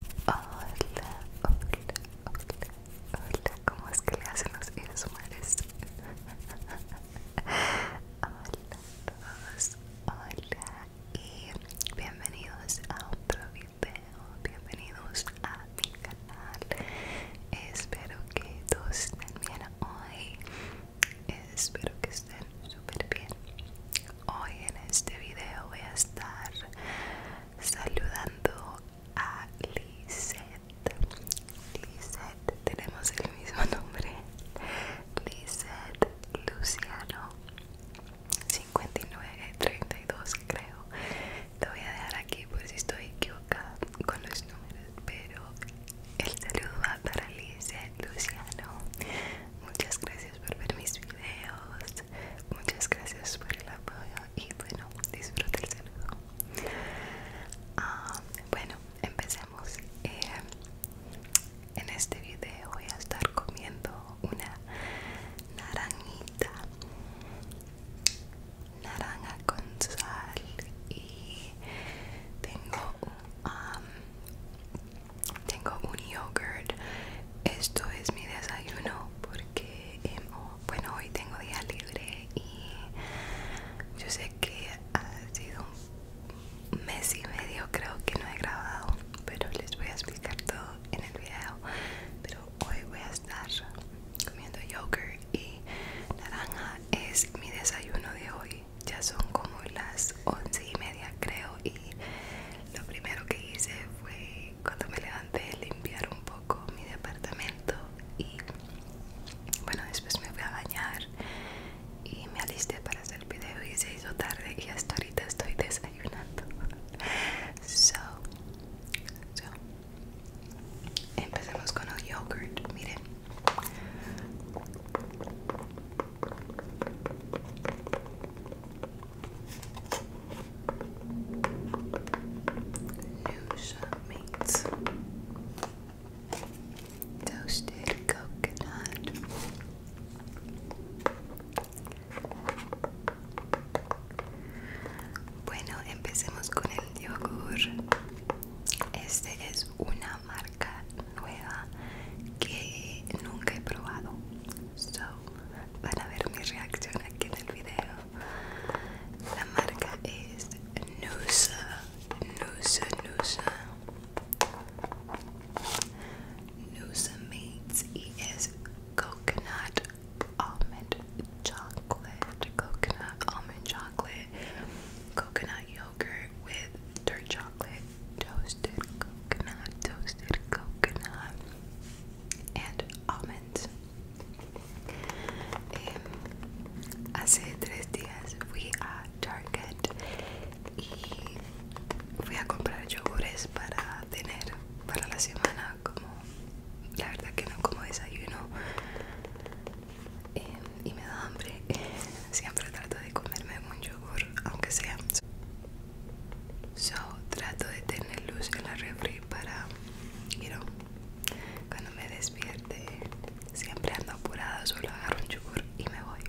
Hola, hola, hola, hola, ¿cómo es que le hacen los eres humanos? hola todos, hola y bienvenidos a otro video, bienvenidos a mi canal. Espero que todos estén bien hoy, espero que estén súper bien. Hoy en este video voy a estar saludando a Lisette. Lisette, tenemos el mismo nombre. Lisette Luciano 5932 creo. Te voy a dejar aquí por si estoy equivocada con los números, pero el saludo va para Lisette Luciano. Muchas gracias por ver mis videos, muchas gracias por el apoyo y bueno, disfruta el saludo. Ah, bueno, empecemos. Eh, en este video voy a estar comiendo una naranjita, naranja con sal y tengo un, um, tengo un yogurt esto es mi desayuno porque, em, bueno, hoy tengo día libre y yo sé que ha sido un mes y medio, creo que no he grabado, pero les voy a explicar todo en el video. Pero hoy voy a estar comiendo yogurt y naranja. Es mi desayuno de hoy. Ya son como las once y media, creo, y lo primero que hice fue cuando me levanté limpiar un poco mi departamento y bueno después me fui a bañar y me alisté para hacer el video y se hizo tarde y hasta ahorita estoy desayunando so, so empecemos con el yogurt miren Lucia meats, toasted coconut, bueno, empecemos con el yogur. Este es una marca nueva que nunca he probado. So, van a ver mi reacción aquí en el video. La marca es Nusa, Nusa, Nusa. Nusa Mates ES Coconut Almond Chocolate, Coconut Almond Chocolate, Coconut Yogurt with Dirt Chocolate, Toasted Coconut, Toasted Coconut. and almonds. Em, hace tres días fui a Target y fui a comprar yogures para tener para la semana como la verdad que no como desayuno em, y me da hambre siempre trato de comerme un yogur aunque sea so trato de tener luz en la refri para, you know, cuando me despierte, siempre ando apurada, solo agarro un yogur y me voy.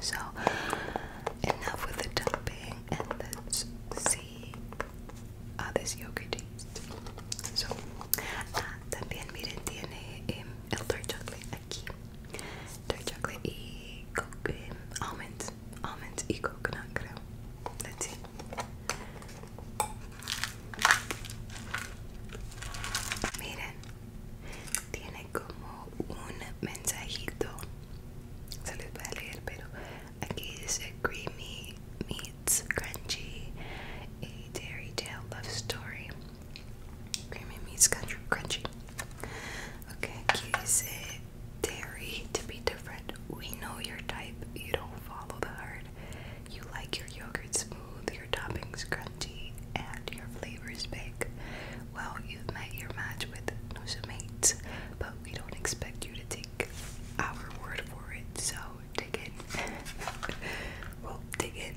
So, enough with the topping, and let's see how this yogurt taste. So, ah, también miren, tiene em, el dark chocolate aquí, dark chocolate y almonds almonds y coconut, creo. Let's see. Miren, tiene como un mensajito. Se les va a leer, pero aquí dice creamy meets crunchy, a eh, dairy tale love story. Creamy meets crunchy. Ok, aquí dice dairy to be different. We know your type. You don't follow the herd. You like your yogurt smooth, your toppings crunchy, and your flavors big. Well, you've met your match with Nusumates, but we don't expect you to take our word for it, so dig in. well, dig in.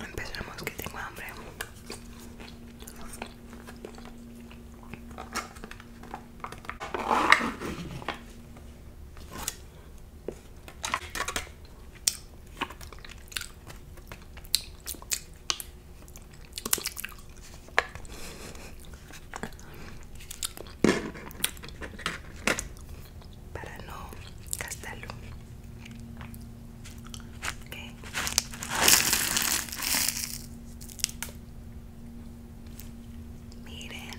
Empezamos que tengo hambre para no gastarlo miren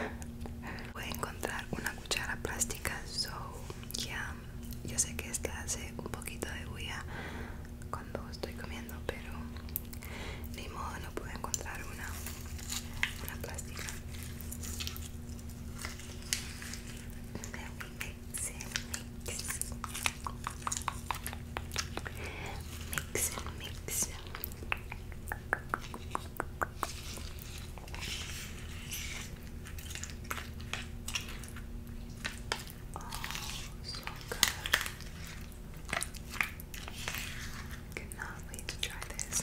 voy a encontrar una cuchara plástica so ya yo sé que esta hace un poquito de bulla cuando estoy comiendo pero ni modo no pude encontrar una una plástica Then we mix and mix. Mix and mix. Oh, so good. Cannot wait to try this.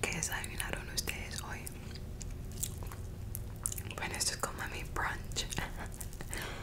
¿Qué desayunaron ustedes hoy? Bueno, esto es como mi brunch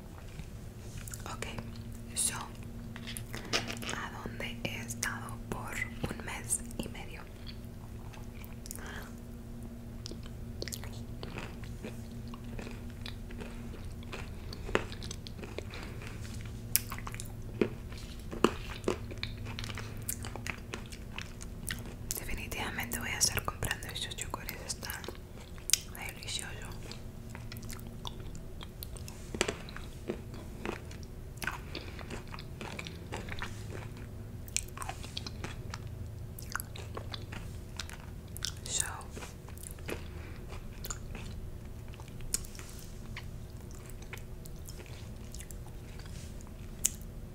Ok, yo a donde he estado por un mes y medio. Definitivamente voy a estar comprando estos chocolates están delicioso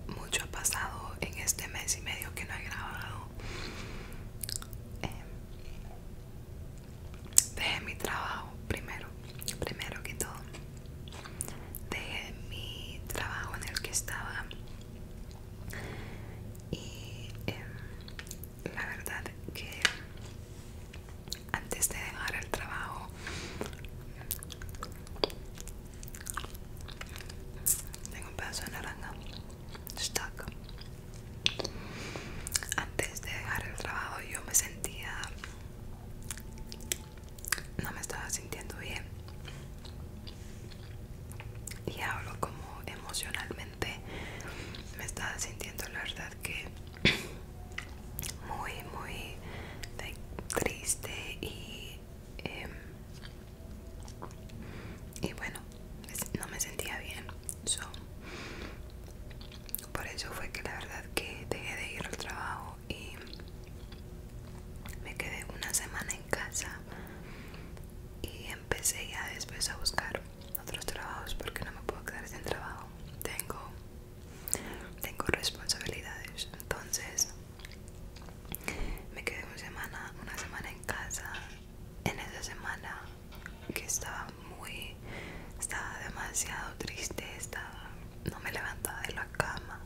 mucho ha pasado en este mes y medio que no he grabado em, dejé mi trabajo primero, primero que todo. Dejé mi trabajo en el que estaba y em, la verdad que antes de dejar el trabajo tengo un pedazo de naranja stuck. Antes de dejar el trabajo yo me sentía... No me estaba sintiendo bien. Y hablo como emocionalmente. Me estaba sintiendo la verdad que muy, muy triste y... Em, y bueno, no me sentía bien. So, por eso fue que la verdad que dejé de ir al trabajo y me quedé una semana en casa y empecé ya después a buscar otros trabajos porque no me puedo quedar sin trabajo. Tengo, tengo responsabilidades. Entonces me quedé una semana, una semana en casa. En esa semana que estaba muy estaba demasiado triste estaba no me levantaba de la cama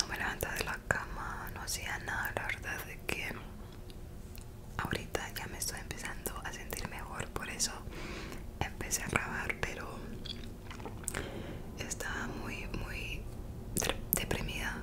no me levantaba de la cama no hacía nada la verdad de que ahorita ya me estoy empezando a sentir mejor por eso empecé a grabar pero estaba muy muy deprimida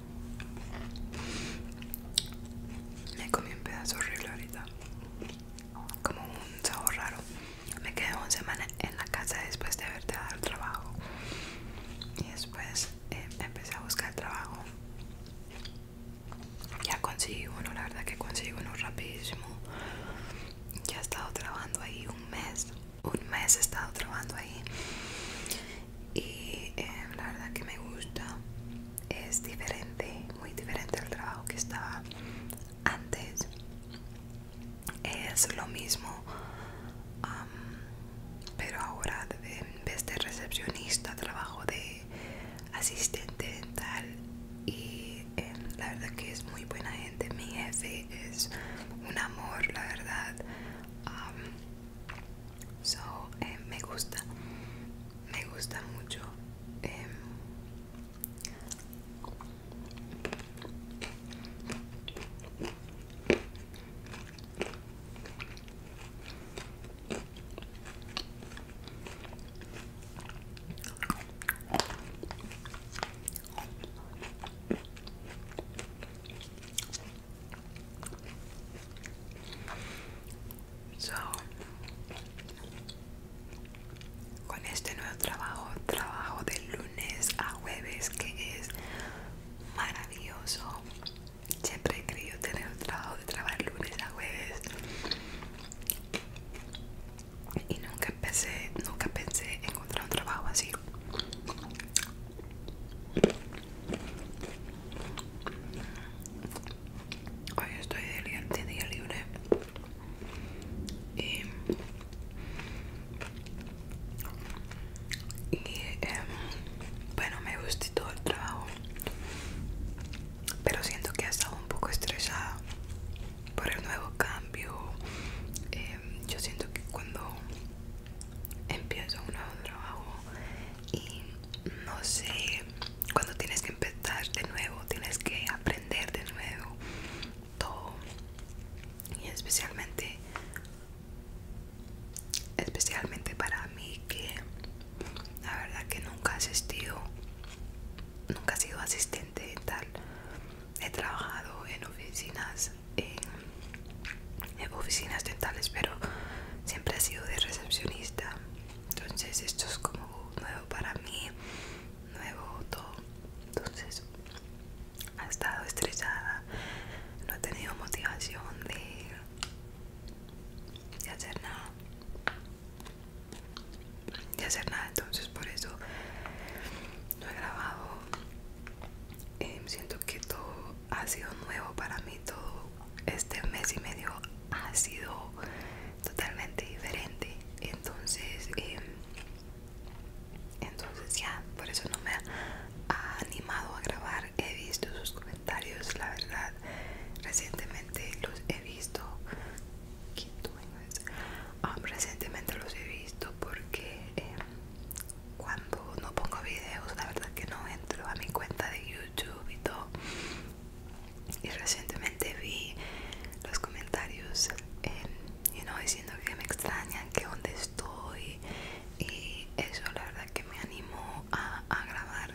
Me comí un pedazo horrible ahorita. Como un sabor raro. Me quedé una semana en la casa después de haberte dado el trabajo. Y después eh, empecé a buscar trabajo. Ya conseguí uno, la verdad que conseguí uno rapidísimo. Ya he estado trabajando ahí un mes. Un mes he estado trabajando ahí y eh, la verdad que me gusta es diferente muy diferente al trabajo que estaba antes es lo mismo pero ahora en vez de recepcionista trabajo de asistente dental y em, la verdad que es muy buena gente mi jefe es un amor la verdad So, eh, me gusta, me gusta mucho. Em, So, con este nuevo trabajo, trabajo de lunes a jueves, que es maravilloso. Siempre he querido tener un trabajo de trabajar lunes a jueves. Y nunca pensé, nunca pensé encontrar un trabajo así. Hoy estoy de día libre y, em, bueno me gustó todo el trabajo pero siento que he estado un poco estresada por el nuevo cambio em, yo siento que cuando empiezo un nuevo trabajo y no sé cuando tienes que empezar de nuevo tienes que aprender de nuevo todo y especialmente especialmente para mí que la verdad que nunca he nunca he sido asistente dental he trabajado en oficinas en, en oficinas dentales pero siempre he sido de recepcionista entonces esto es como nuevo para mí nuevo todo entonces ha estado estresada no he tenido motivación de, hacer nada de hacer nada entonces por eso no he grabado em, siento que todo ha sido nuevo para mí todo este mes y medio ha sido totalmente diferente entonces em, entonces ya por eso no me ha animado a grabar he visto sus comentarios la verdad recientemente los he visto ah, recientemente los he visto porque em, cuando no pongo videos la verdad que no entro a mi cuenta de youtube y todo y recientemente vi los comentarios diciendo que me extrañan, que dónde estoy y eso la verdad que me animó a, a grabar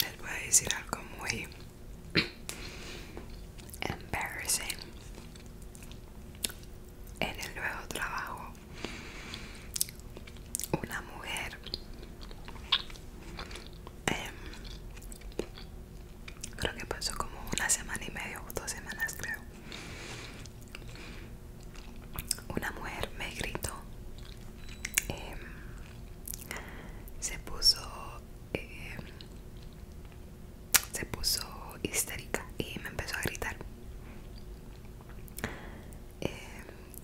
Les voy a decir algo muy embarrassing. En el nuevo trabajo, una mujer em, creo que pasó como una semana y media o dos semanas creo una mujer me gritó, em, se puso, em, se puso histérica y me empezó a gritar. Em,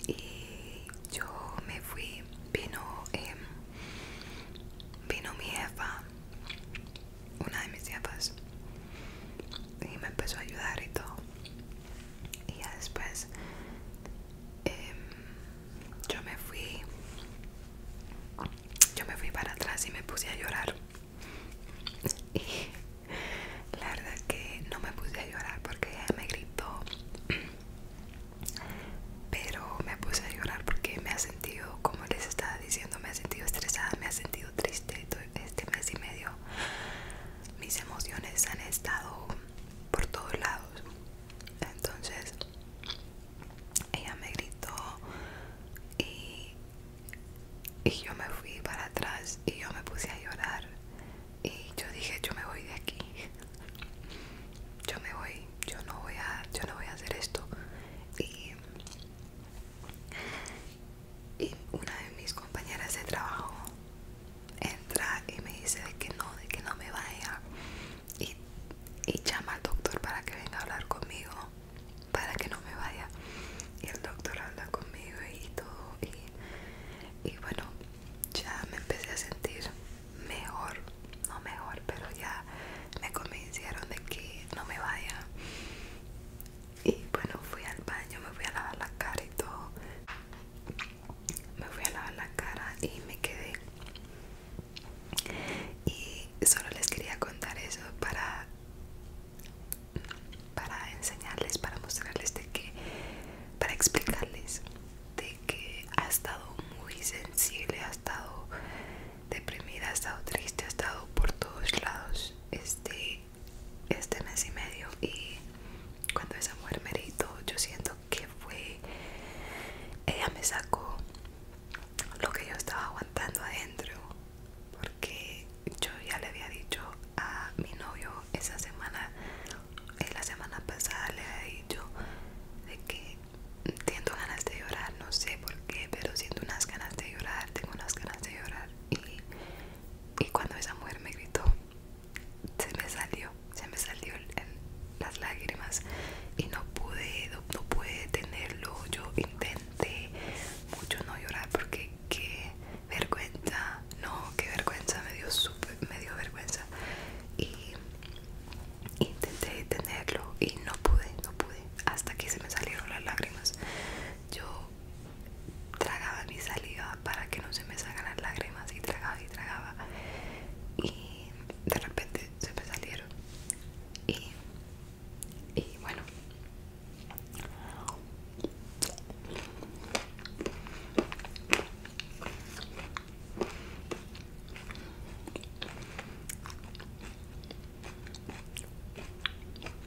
y yo me fui, vino, vino mi jefa una de mis tías y me empezó a ayudar y todo y después em, yo me fui yo me fui para atrás y me puse a llorar y la verdad que no me puse a llorar porque me gritó pero me puse a llorar porque me ha sentido como les estaba diciendo me ha sentido estresada me ha sentido triste este mes y medio mis emociones han estado por todos lados. Entonces ella me gritó y, y yo me fui para atrás y yo me puse a llorar. Y yo dije, yo me voy de aquí. Yo me voy, yo no voy a, yo no voy a hacer esto. Y y una de mis compañeras de trabajo entra y me dice de que no, de que no me vaya. Y, llama al doctor para que venga a hablar conmigo, para que no me vaya. Y el doctor habla conmigo y todo. Y, y bueno, ya me empecé a sentir mejor, no mejor, pero ya me convencieron de que no me vaya. Y bueno, fui al baño, me fui a lavar la cara y todo. Me fui a lavar la cara y me quedé. Y solo les quería contar eso para para enseñarles, para mostrarles de que para explicarles de que ha estado muy sensible, ha estado deprimida, he estado triste, he estado por todos lados este, este mes y medio y cuando esa mujer me gritó, yo siento que fue, ella me sacó lo que yo estaba aguantando adentro porque yo ya le había dicho a mi novio esa semana, la semana pasada le había dicho de que siento ganas de llorar, no sé por qué, pero siento unas ganas de llorar, tengo unas ganas de llorar y, cuando esa mujer me gritó se me salió se me salió las lágrimas y no pude no, pude detenerlo yo intenté mucho no llorar porque qué vergüenza no qué vergüenza me dio me dio vergüenza y intenté detenerlo y no pude no pude hasta que se me salieron las lágrimas yo tragaba mi saliva para que no se me salgan las lágrimas y tragaba y tragaba y de repente se me salieron y, y bueno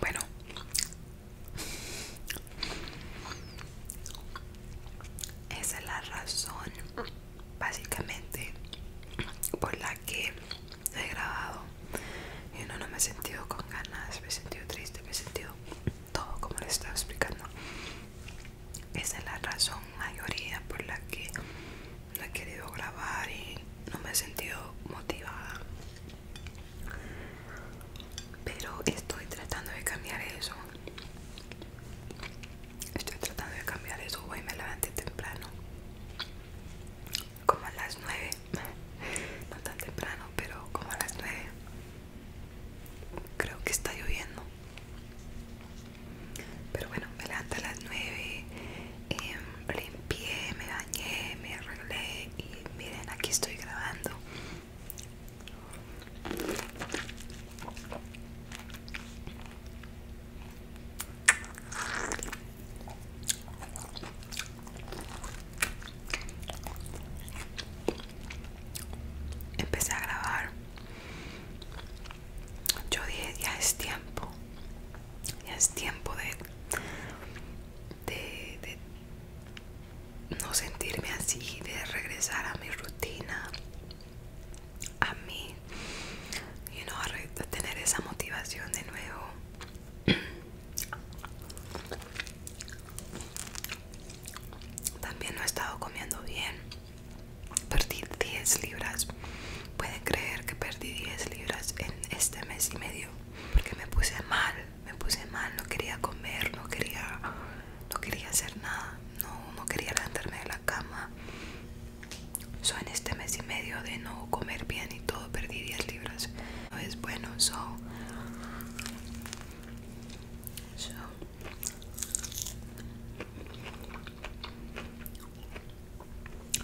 Bueno, esa es la razón básicamente por la que he grabado y no, no me he sentido con ganas, me he sentido triste, me he sentido todo como le estaba explicando. Esa es la razón mayoría por la que no he querido grabar y no me he sentido motivada. Pero estoy tratando de cambiar eso. Estoy tratando de cambiar eso. y me levanté temprano como a las 9 no tan temprano pero como a las 9 creo que está lloviendo pero bueno me levanta a las 9 em, limpié me bañé me arreglé y miren aquí estoy grabando empecé a grabar yo dije ya es tiempo ya es tiempo de, de, de no sentirme así de regresar a mi rutina a mí y no tener esa motivación de nuevo también no he estado comiendo bien. Perdí 10 libras. Pueden creer que perdí 10 libras en este mes y medio. Porque me puse mal. Me puse mal. No quería comer. No quería, no quería hacer nada. No, quería levantarme de la cama. So, en este mes y medio de no comer bien y todo, perdí 10 libras es pues bueno so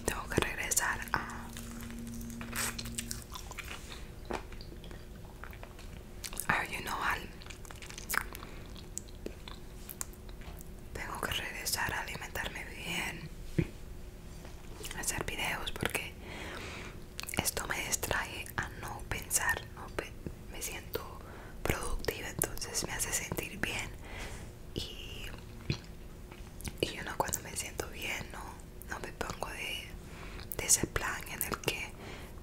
tengo que regresar a al... Tengo que regresar a alimentarme bien, hacer videos porque esto me distrae a no pensar, no me siento productiva, entonces me hace sentir bien y, yo no cuando me siento bien no, no me pongo de, de ese plan en el que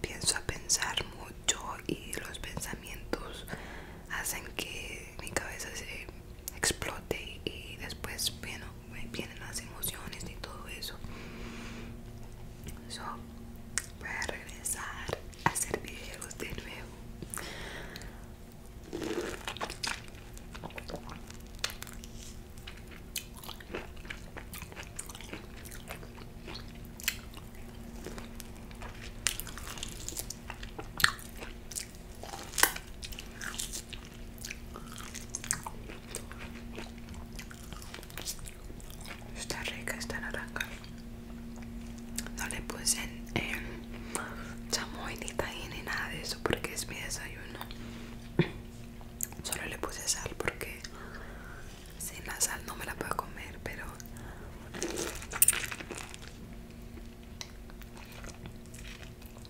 pienso a pensar mucho y los pensamientos hacen que mi cabeza se explote y después bueno vienen las emociones y todo eso so, voy a regresar a ser videos de nuevo Está rica esta naranja. No le puse eh, em, chamoy ni tajín ni nada de eso porque es mi desayuno. Solo le puse sal porque sin la sal no me la puedo comer, pero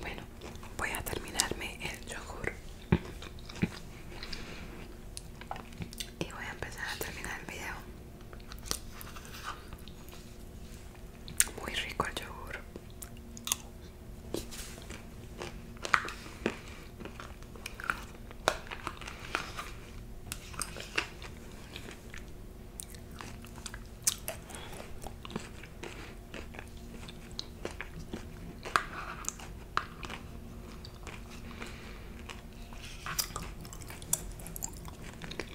Bueno, voy a terminarme el yogur y voy a empezar a terminar el video. Muy rico el yogur.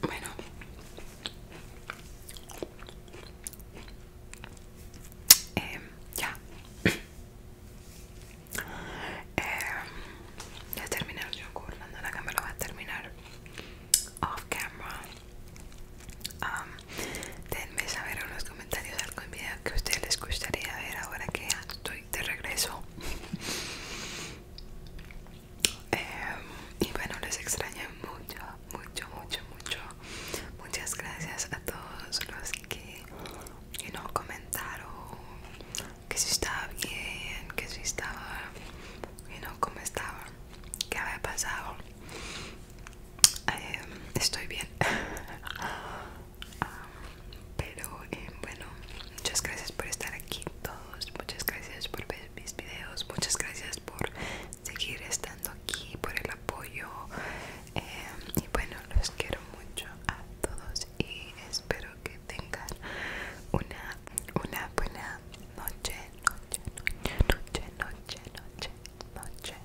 Bueno. Em, ya. Em, ya terminé yo la cámara va a terminar off camera. denme saber en los comentarios en video que a ustedes les gustaría ver ahora que estoy de regreso. Eh, y bueno, les extraño mucho, mucho, mucho, mucho. Muchas gracias a todos los que no comentaron que si estaba bien, que si estaba, you no cómo estaba, qué había pasado. Eh, estoy bien. Ah, pero eh, bueno, muchas gracias por estar aquí todos, muchas gracias por ver mis videos, muchas gracias por seguir estando aquí, por el apoyo. Eh, y bueno, los quiero mucho a todos y espero que tengan una, una buena noche, noche, noche, noche, noche, noche, noche.